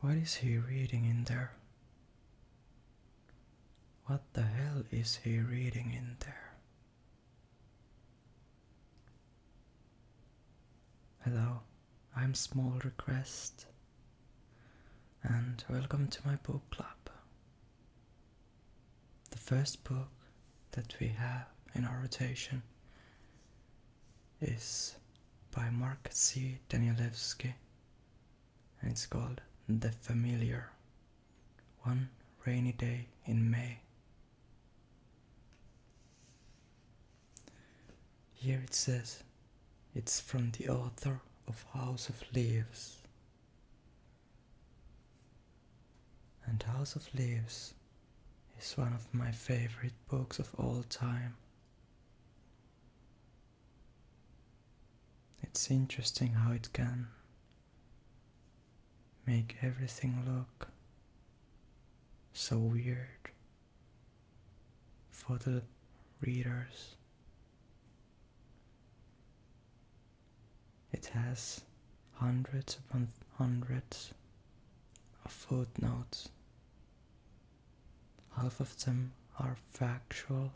What is he reading in there? What the hell is he reading in there? Hello, I'm Small Request, and welcome to my book club. The first book that we have in our rotation is by Mark C. Danielewski and it's called The Familiar One Rainy Day in May. Here it says it's from the author of House of Leaves. And House of Leaves is one of my favorite books of all time. It's interesting how it can make everything look so weird for the readers. It has hundreds upon hundreds of footnotes. Half of them are factual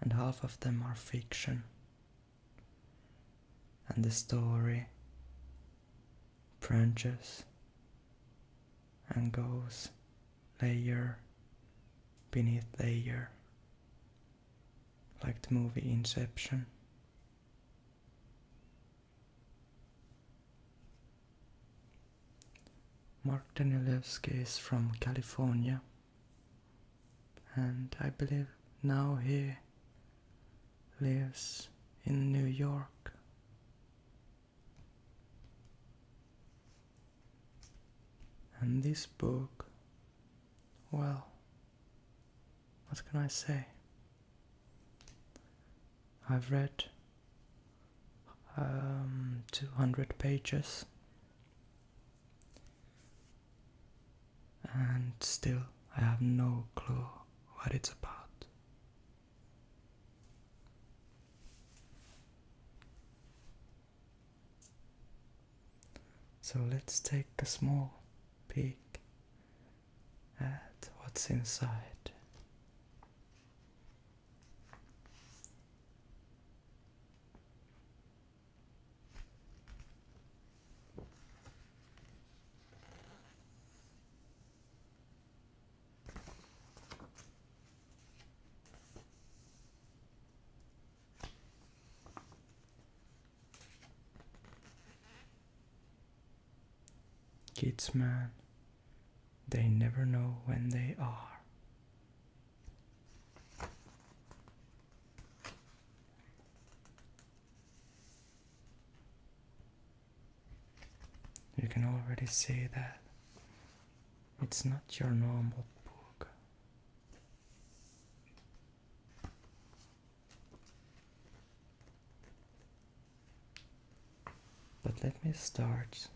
and half of them are fiction. And the story branches and goes layer beneath layer, like the movie Inception. Mark Danielewski is from California, and I believe now he lives in New York. And this book, well, what can I say? I've read um, 200 pages and still I have no clue what it's about. So let's take a small peek at what's inside. Kids, man, they never know when they are. You can already see that it's not your normal book. But let me start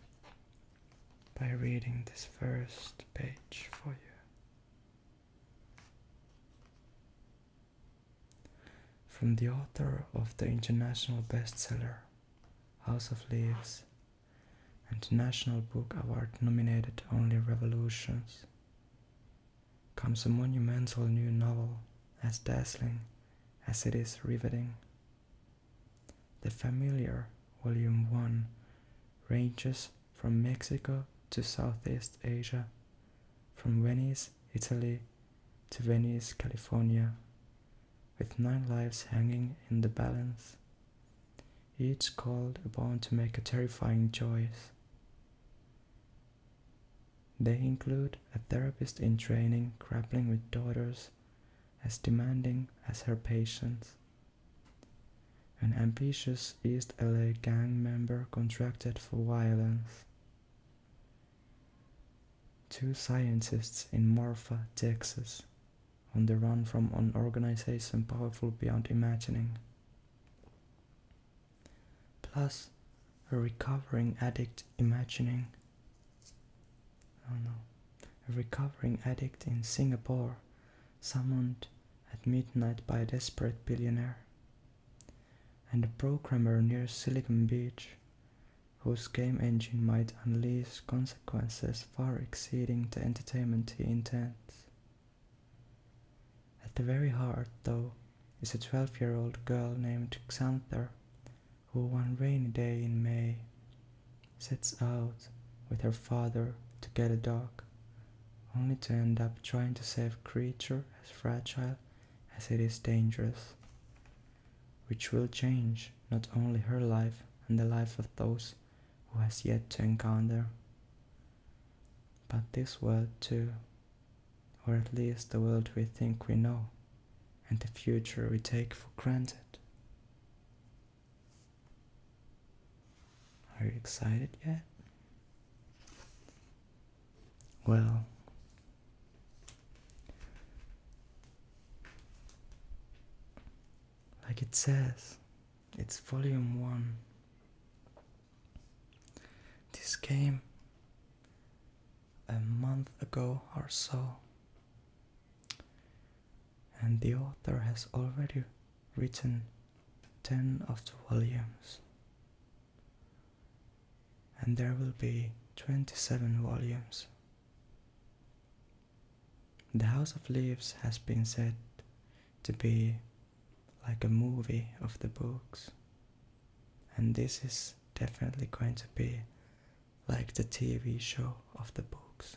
by reading this first page for you. From the author of the international bestseller House of Leaves and National Book Award nominated Only Revolutions, comes a monumental new novel as dazzling as it is riveting. The Familiar, Volume 1, ranges from Mexico to Southeast Asia, from Venice, Italy to Venice, California, with nine lives hanging in the balance, each called upon to make a terrifying choice. They include a therapist in training grappling with daughters as demanding as her patients. An ambitious East LA gang member contracted for violence. Two scientists in Marfa, Texas, on the run from an organization powerful beyond imagining plus a recovering addict imagining oh no a recovering addict in singapore summoned at midnight by a desperate billionaire and a programmer near silicon beach whose game engine might unleash consequences far exceeding the entertainment he intends at the very heart though is a 12 year old girl named Xanther who, one rainy day in May, sets out with her father to get a dog, only to end up trying to save a creature as fragile as it is dangerous, which will change not only her life and the life of those who has yet to encounter, but this world too or at least the world we think we know, and the future we take for granted. Are you excited yet? Well, like it says, it's volume one. This game a month ago or so, and the author has already written 10 of the volumes, and there will be 27 volumes. The House of Leaves has been said to be like a movie of the books and this is definitely going to be like the TV show of the books.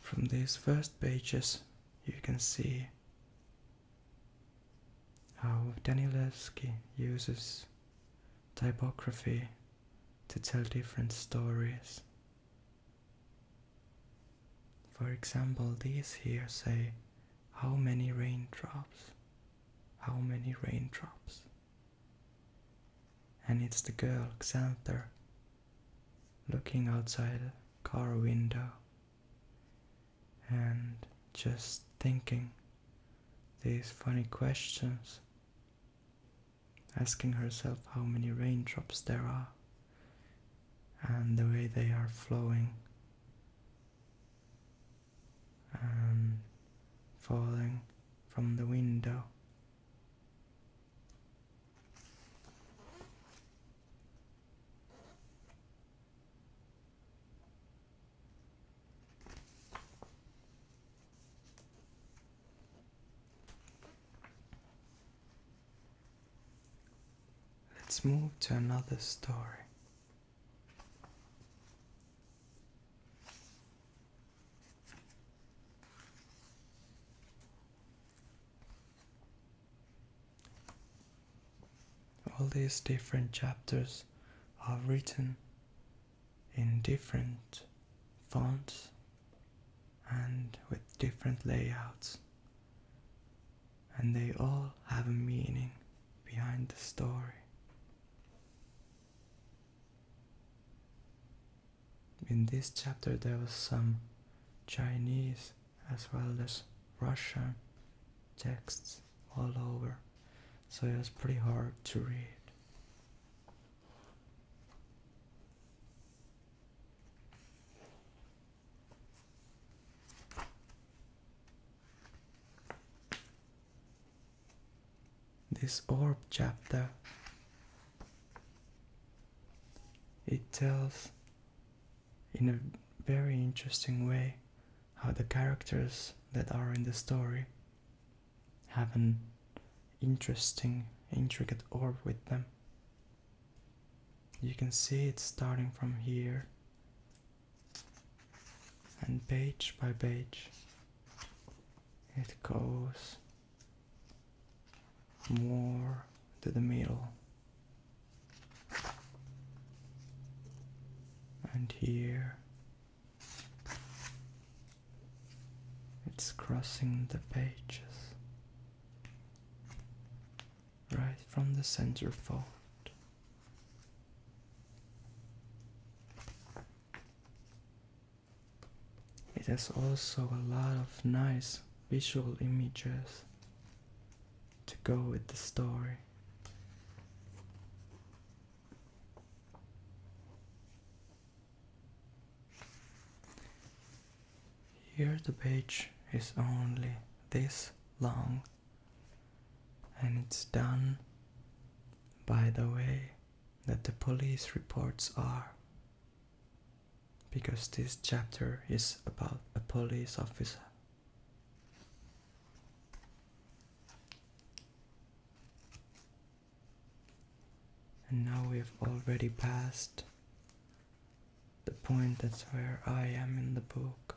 From these first pages, you can see how Danilevsky uses typography to tell different stories. For example, these here say how many raindrops? How many raindrops? And it's the girl, Xanther, looking outside a car window and just thinking these funny questions, asking herself how many raindrops there are and the way they are flowing and falling from the window. Let's move to another story. All these different chapters are written in different fonts and with different layouts and they all have a meaning behind the story. In this chapter, there was some Chinese as well as Russian texts all over, so it was pretty hard to read. This orb chapter it tells in a very interesting way how the characters that are in the story have an interesting, intricate orb with them. You can see it starting from here and page by page it goes more to the middle and here it's crossing the pages right from the center fold. It has also a lot of nice visual images to go with the story. Here the page is only this long and it's done by the way that the police reports are. Because this chapter is about a police officer. And now we have already passed the point that's where I am in the book.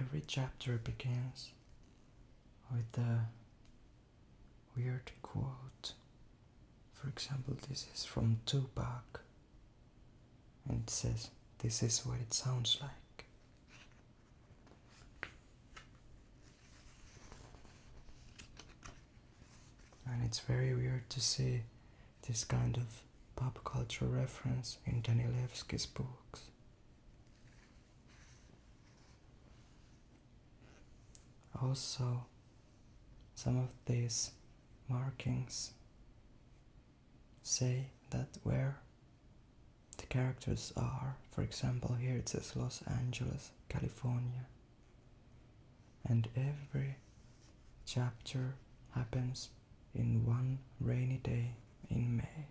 Every chapter begins with a weird quote. For example, this is from Tupac and it says, This is what it sounds like. And it's very weird to see this kind of pop culture reference in Danilevsky's books. Also, some of these markings say that where the characters are, for example, here it says Los Angeles, California. And every chapter happens in one rainy day in May.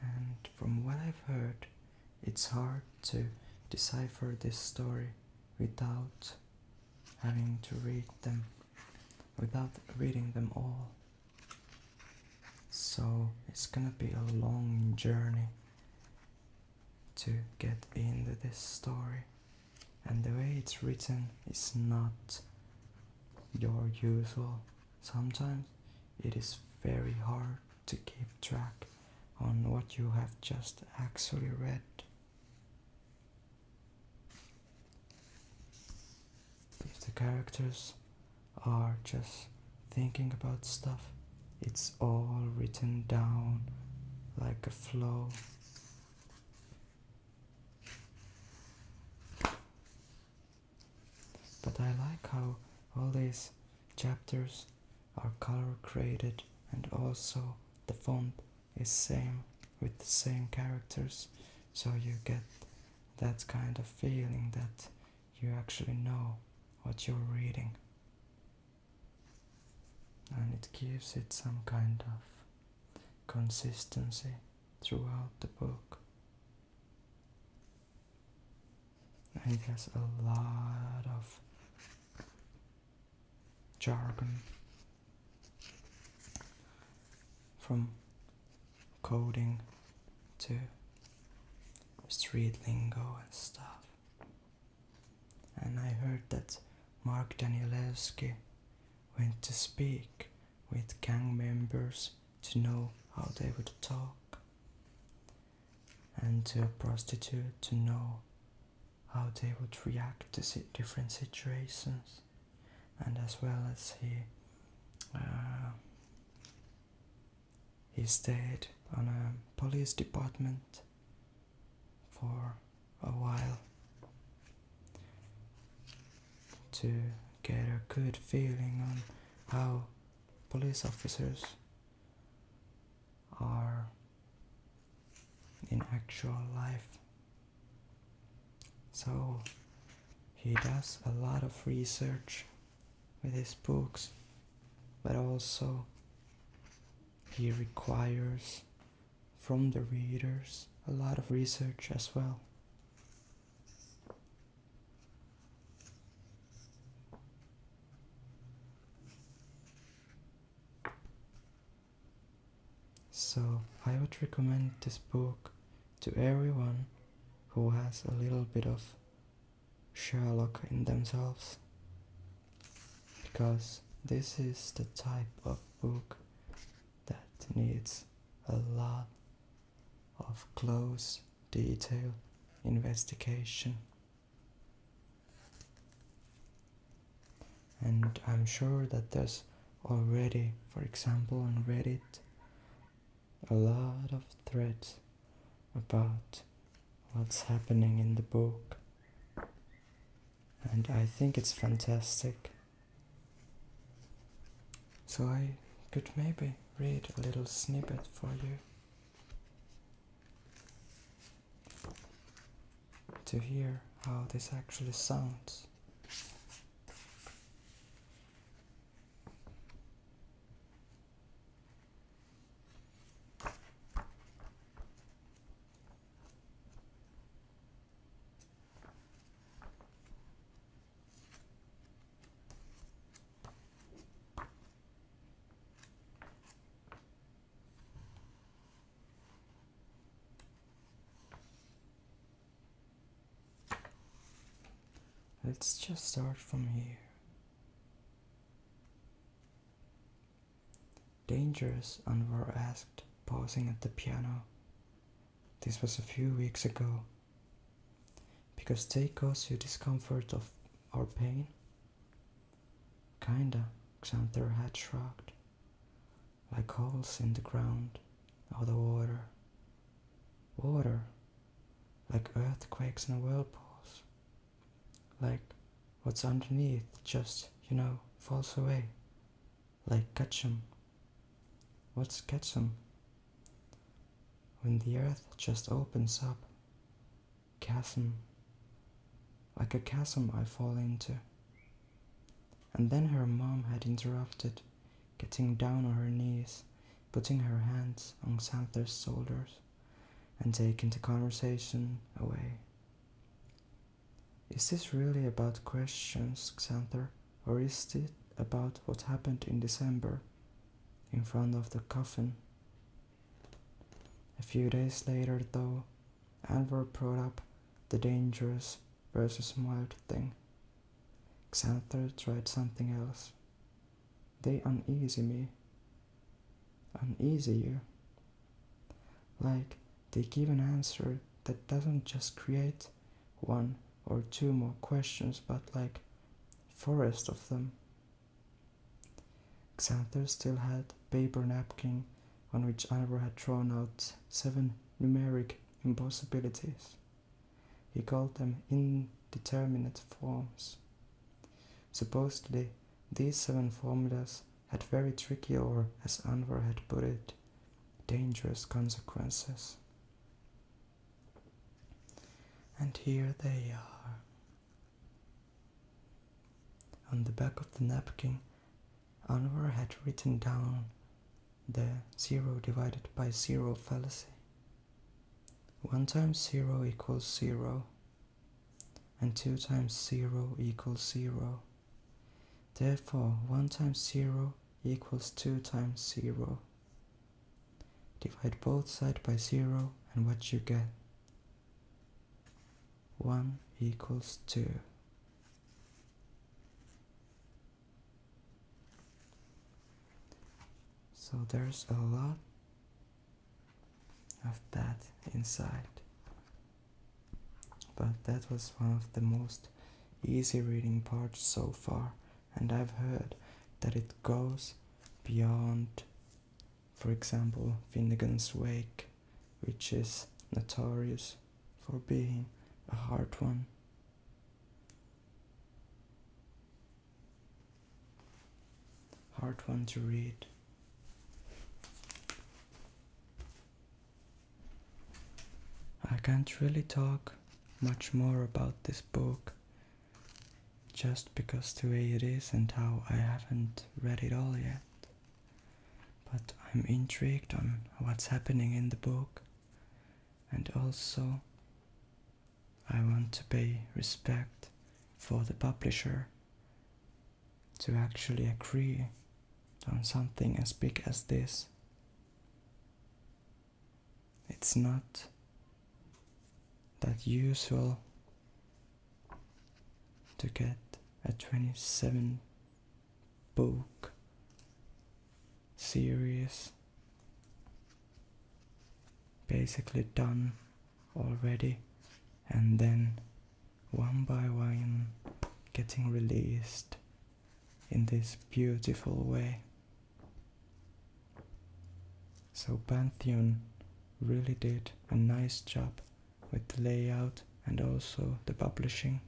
And from what I've heard, it's hard to decipher this story without having to read them without reading them all. So it's gonna be a long journey to get into this story, and the way it's written is not your usual. Sometimes it is very hard to keep track on what you have just actually read. If the characters are just thinking about stuff, it's all written down like a flow. But I like how all these chapters are color created and also the font is same with the same characters so you get that kind of feeling that you actually know what you're reading and it gives it some kind of consistency throughout the book and it has a lot of jargon from coding to street lingo and stuff. And I heard that Mark Danielewski went to speak with gang members to know how they would talk, and to a prostitute to know how they would react to different situations and as well as he uh, he stayed on a police department for a while to get a good feeling on how police officers are in actual life. So he does a lot of research with his books, but also he requires from the readers a lot of research as well. So I would recommend this book to everyone who has a little bit of Sherlock in themselves because this is the type of book that needs a lot of close detail investigation and I'm sure that there's already, for example, on Reddit, a lot of threads about what's happening in the book, and I think it's fantastic. So I could maybe read a little snippet for you to hear how this actually sounds. Let's just start from here. Dangerous, Anwar asked, pausing at the piano. This was a few weeks ago. Because they cause you discomfort of or pain? Kinda, Xanther had shrugged. Like holes in the ground or the water. Water, like earthquakes and whirlpools. Like what's underneath just, you know, falls away. Like ketchum. What's ketchum? When the earth just opens up. Chasm. Like a chasm I fall into and then her mom had interrupted, getting down on her knees, putting her hands on Sandler's shoulders, and taking the conversation away. Is this really about questions, Xanther, or is it about what happened in December in front of the coffin? A few days later, though, Anvor brought up the dangerous versus mild thing. Xander tried something else. They uneasy me. Uneasy you. Like they give an answer that doesn't just create one or two more questions, but like forest of them. Xander still had paper napkin on which Oliver had thrown out seven numeric impossibilities. He called them indeterminate forms. Supposedly, these seven formulas had very tricky or, as Anwar had put it, dangerous consequences. And here they are. On the back of the napkin Anwar had written down the zero divided by zero fallacy. One times zero equals zero, and two times zero equals zero. Therefore, one times zero equals two times zero. Divide both sides by zero and what you get. 1 equals 2. So there's a lot of that inside. But that was one of the most easy reading parts so far and I've heard that it goes beyond, for example, Finnegan's Wake which is notorious for being a hard one. Hard one to read. I can't really talk much more about this book just because the way it is and how I haven't read it all yet. But I'm intrigued on what's happening in the book, and also I want to pay respect for the publisher to actually agree on something as big as this. It's not that usual to get a 27 book series basically done already and then one by one getting released in this beautiful way so Pantheon really did a nice job with the layout and also the publishing.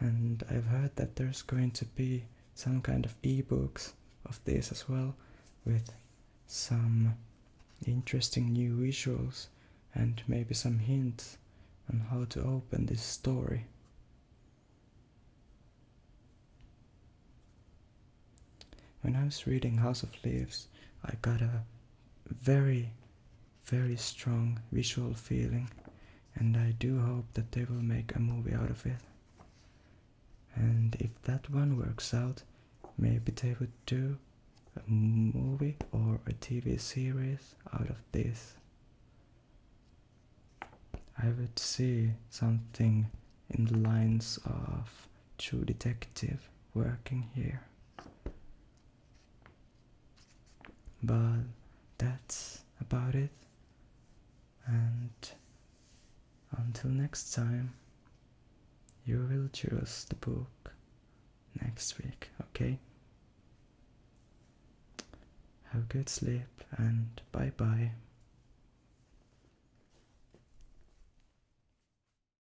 And I've heard that there's going to be some kind of ebooks of this as well with some interesting new visuals and maybe some hints on how to open this story. When I was reading House of Leaves, I got a very, very strong visual feeling, and I do hope that they will make a movie out of it. And if that one works out, maybe they would do a movie or a TV series out of this. I would see something in the lines of True Detective working here. But that's about it. And until next time, you will choose the book next week, okay? Have a good sleep and bye bye.